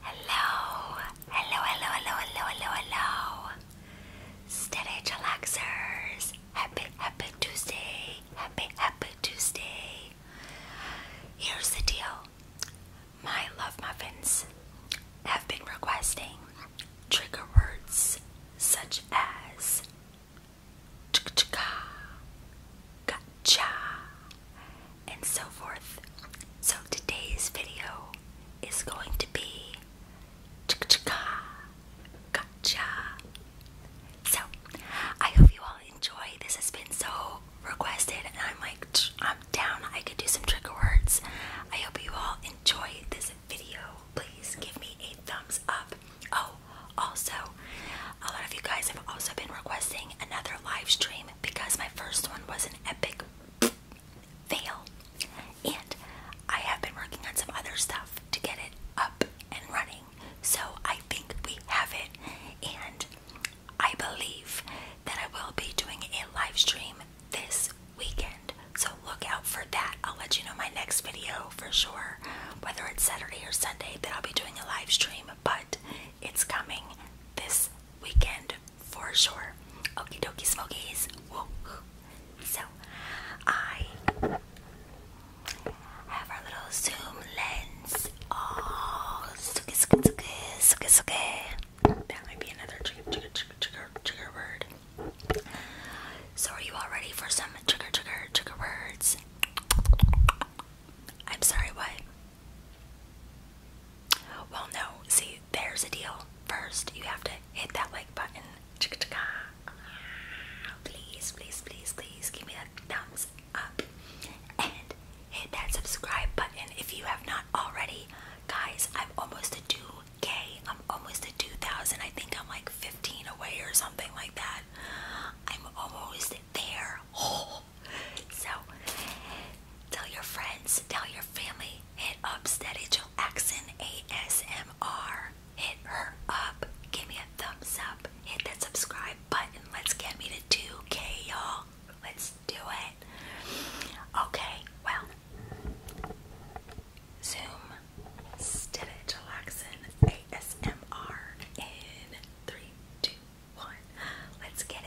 Hello, hello, hello, hello, hello, hello, hello, Stitch Relaxers. Happy, happy Tuesday. Happy, happy Tuesday. Here's the deal my love muffins have been requesting trigger words such as gotcha and so forth. So today's video is going to be Gotcha. So, I hope you all enjoy. This has been so requested, and I'm like, I'm down. I could do some trigger words. I hope you all enjoy this video. Please give me a thumbs up. Oh, also, a lot of you guys have also been requesting another live stream because my first one was an epic fail. And I have been working on some other stuff to get it up and running. So I think we have it, and I believe that I will be doing a live stream this weekend. So look out for that. I'll let you know my next video for sure, whether it's Saturday or Sunday, that I'll be doing a live stream, but it's coming this weekend for sure. Okey dokey, smokies. So I have our little zoom lens. Oh, suki suki suki suki suki. That might be another trigger trigger trigger trigger word. So, are you all ready for some trigger trigger trigger words? I'm sorry, what? Well, no. See, there's a deal. First, you have to hit that like button. Please, please, please, please give me that thumbs up and hit that subscribe button if you have not already. Guys, I'm almost a 2k. I'm almost at 2,000. I think I'm like 15 away or something like that. I'm almost there. So, tell your friends, tell your family, hit up Steady Jill Axon ASMR. Hit her up. Give me a thumbs up. Hit that subscribe button. Let's get me to 2K, y'all. Let's do it. Okay, well, Zoom Stitch ASMR in three, two, one. Let's get it.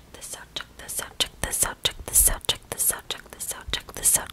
check this out, check this out, check this out, check this out, check this out, check this out, check this out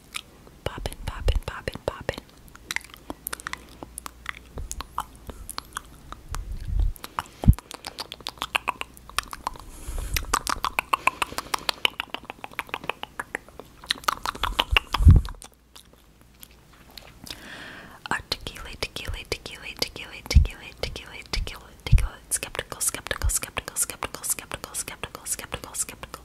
Popping, popping, popping, popping. Articulate, oh, articulate, articulate, articulate, articulate, articulate, articulate, skeptical, skeptical, skeptical, skeptical, skeptical, skeptical, skeptical, skeptical, skeptical,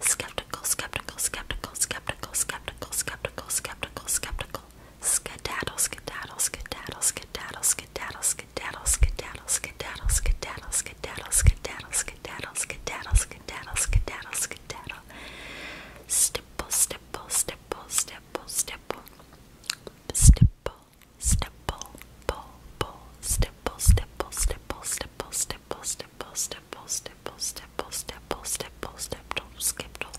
Skeptical, skeptical, skeptical, skeptical, skeptical, skeptical, skeptical, skeptical. Skedaddle, skedaddle, skedaddle, skedaddle, skedaddle, skedaddle, skedaddle, skedaddle, skedaddle, skedaddle, skedaddle, skedaddle, skedaddle, skedaddle, skedaddle, skedaddle, skedaddle. Stipple, stipple, stipple, stipple, stipple. Stipple, stipple, pull, pull. Stipple, stipple, stipple, stipple, stipple, stipple, stipple, stipple, stipple, stipple, stipple, stipple, skipple.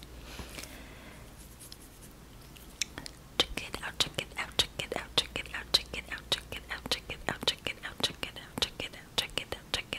Check it out, check it out, check it out, check it out, check it out, check it out, check it out, check it out, check it out, check it out, check it out, check it out, check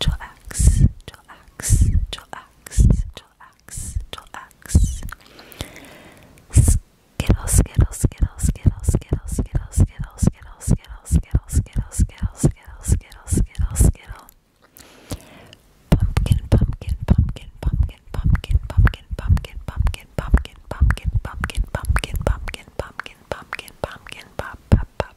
chillax, chillax, chillax, chillax, chillax. Skittles, skittles, skittles, skittles, skittles, skittles, skittles, skittles, skittles, skittles, skittles, skittles, skittles, skittles, skittles, skittles. Pumpkin, pumpkin, pumpkin, pumpkin, pumpkin, pumpkin, pumpkin, pumpkin, pumpkin, pumpkin, pumpkin, pumpkin, pumpkin, pumpkin, pumpkin, pumpkin, pop, pop, pop,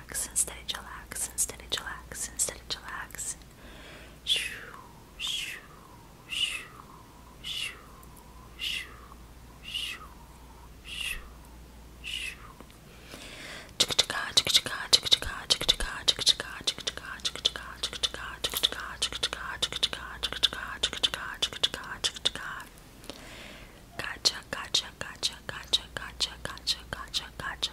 chillax, instead of chillax, instead of chillax, instead of chillax. Shoo, shoo, shoo, shoo, shoo, shoo, shoo, shoo. Gotcha, gotcha, gotcha, gotcha, gotcha, gotcha, gotcha, gotcha,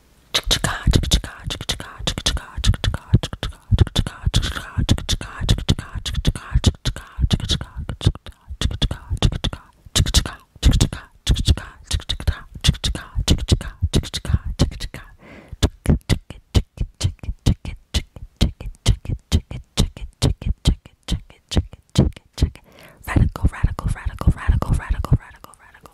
Radical, radical, radical, radical, radical, radical, radical,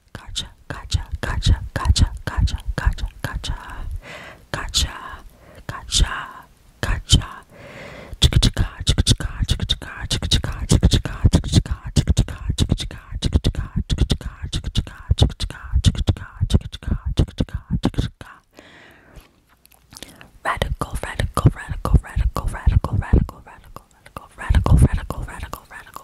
gotcha, gotcha, gotcha, gotcha, gotcha, gotcha, gotcha, gotcha, gotcha, gotcha, gotcha, chicka chicka, chicka chicka, chicka chicka, chicka chicka, chicka chicka, chicka chicka, chicka chicka, chicka chicka, chicka chicka, chicka chicka, chicka chicka, chicka chicka, chicka chicka, chicka chicka. Radical, radical, radical, radical, radical, radical, radical, radical, radical, radical, radical, radical,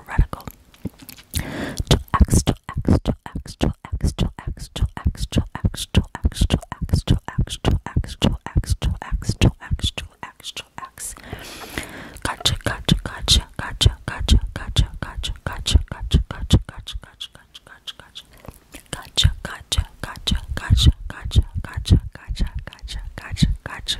radical, X. 2x, 2x, 2x, 2x, 2x, 2x, 2x, 2x, 2x, 2x, 2x, 2x, 2x, 2x, 2x, 2x. Gotcha, gotcha, gotcha, gotcha, gotcha, gotcha, gotcha, gotcha, gotcha, gotcha, gotcha, gotcha, gotcha, gotcha. Gotcha, gotcha, gotcha, gotcha, gotcha, gotcha, gotcha, gotcha, gotcha, gotcha,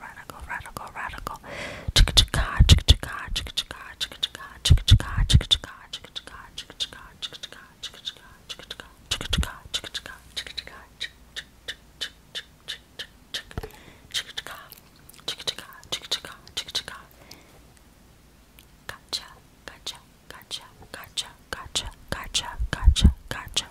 radical, radical, radical, radical. Chicka chicka, chicka chicka, chicka chicka, chicka chicka, chicka chicka, chicka chicka, chicka chicka, chicka chicka, chicka chicka, chicka chicka, chicka chicka, chicka chicka, chicka chicka, chicka chicka, chicka chicka, chicka chicka, chicka chicka, chicka chicka. Gotcha, gotcha, gotcha, gotcha, gotcha, gotcha, gotcha, gotcha,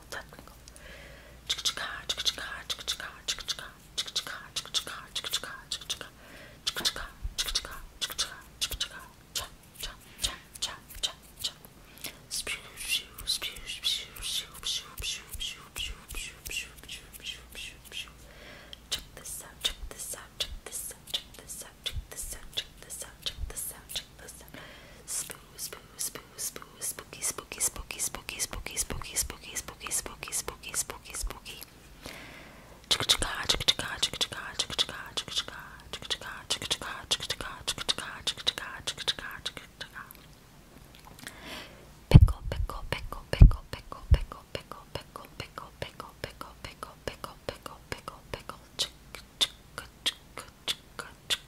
technical, technical. Check this out, check this out, check this out, check this out, check this out, check this out, check this out, check this out spoo, spoo, spoo, spooky, spooky, spooky, spooky, spooky, spooky, spooky, spooky, spooky, spooky, spooky, spooky. Chicka chicka, chicka chicka, chicka chicka, chicka chicka, chicka chicka, chicka chicka, chicka chicka, chicka chicka, chicka chicka, chicka chicka, chicka chicka. Pickle, pickle, pickle, pickle, pickle, pickle, pickle, pickle, pickle, pickle, pickle, pickle, pickle, pickle, pickle, pickle, chick, chicka, chicka, chicka, chicka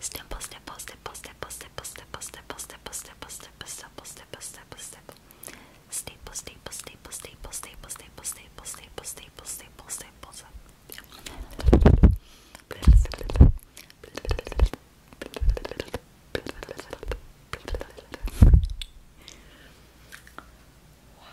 Stipple, stipple, stipple, stipple, stipple, stipple, stipple, stipple, stipple, stipple, stipple, stipple, stipple, stipple. Staple, staple, staple, staple, staple, staple, staple, staple, staple, staple, staples. Wow.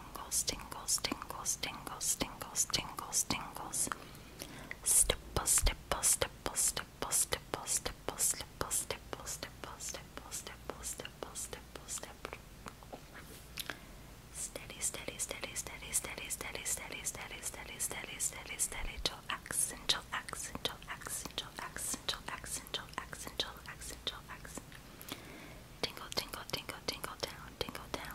tingles, tingles, tingles, tingles, tingles, tingles, tingles. Stipple, stipple, stipple, stipple, stipple, stipple, stipple, stipple, stipple, stipple, stipple, stipple, stipple, stipple. Steady, steady, steady, steady, steady, steady, steady, steady, steady, steady, steady, steady, till accent, till accent, till accent, till accent, till accent, till accent, till accent, till accent. Tingle, tingle, tingle, tingle down, tingle down.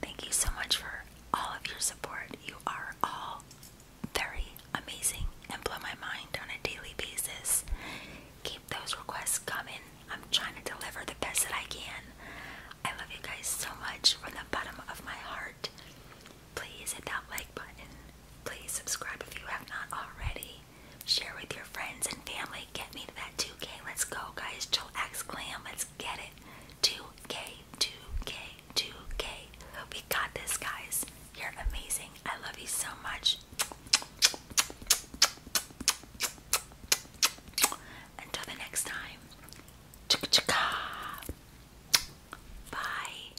Thank you so much for all of your support. You are all very amazing and blow my mind on a daily basis. Keep those requests coming. I'm trying to deliver the best that I can. I love you guys so much from the bottom of my heart. Please hit that like button. Please subscribe if you have not already. Share with your friends and family. Get me to that 2K. Let's go, guys. Joel X Glam. Let's let get it. 2K, 2K, 2K. We got this, guys. You're amazing. I love you so much. Until the next time. Chicka Bye.